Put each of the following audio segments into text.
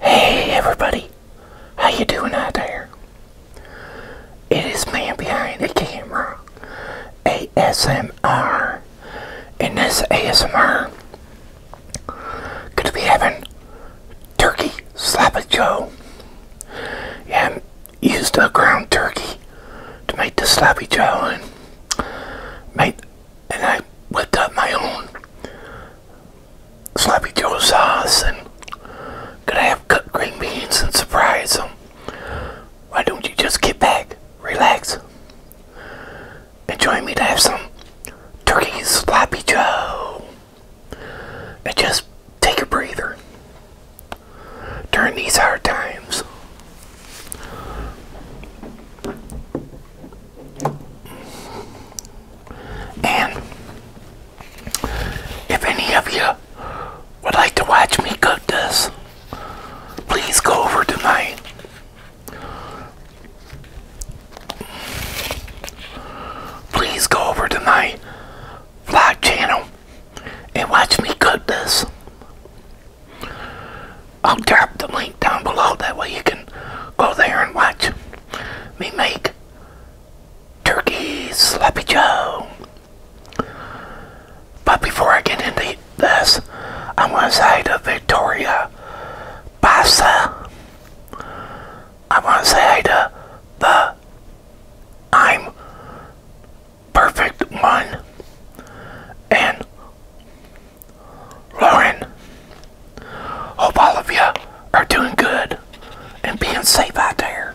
Hey everybody, how you doing out there? It is man behind the camera, ASMR, and this ASMR gonna be having turkey slap joe. And used a ground turkey to make the sloppy joe and made and I whipped up my own sloppy joe sauce and gonna have cut green beans and surprise them. Why don't you just get back, relax, and join me to have some turkey sloppy joe and just take a breather during these hard times. And if any of you would like to watch me cut this, please go over to my please go over to my vlog channel and watch me cut this. I'll drop the link down below. That way you can go there and watch me make turkey sloppy joe. But before I get into this, I want to say to Victoria Bassa, I want to say to the I'm Perfect One and Lauren, hope all of you are doing good and being safe out there.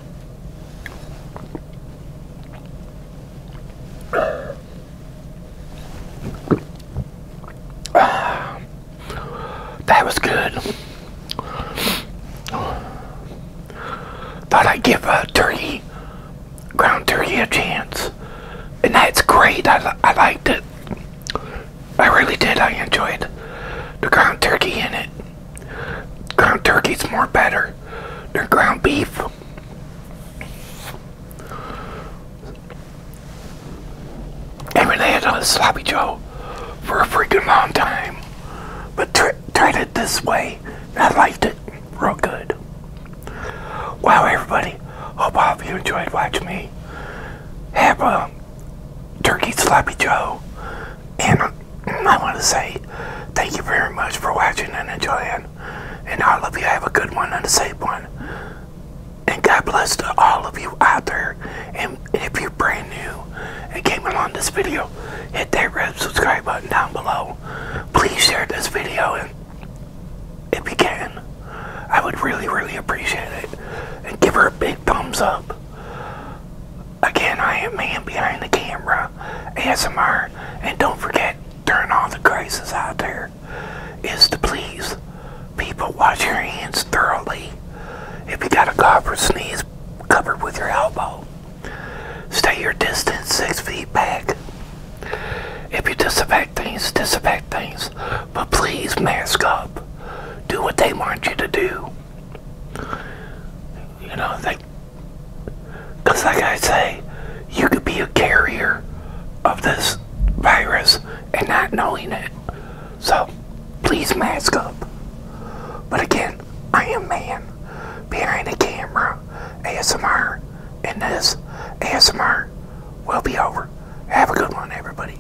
that was good. Thought I'd give a turkey, ground turkey a chance. And that's great. I, I liked it. I really did. I enjoyed the ground turkey in it ground turkey's more better than ground beef. I mean, I had a sloppy joe for a freaking long time, but tr tried it this way, and I liked it real good. Wow, everybody, hope all of you enjoyed watching me. Have a Turkey Sloppy Joe, and I want to say thank you very much for watching and enjoying, and I love you have a good one and a safe one, and God bless to all of you out there, and if you're brand new and came along this video, hit that red subscribe button down below, please share this video, and if you can, I would really, really appreciate it, and give her a big thumbs up. Again, I am man behind the camera, ASMR, and don't forget during all the crazes out there is to please people wash your hands thoroughly. If you got a cough or sneeze, cover with your elbow. Stay your distance six feet back. If you disinfect things, disinfect things, but please mask up. Do what they want you to do. You know, they, because like I say, you could be a carrier of this virus and not knowing it. So, please mask up. But again, I am man behind the camera, ASMR, and this ASMR will be over. Have a good one, everybody.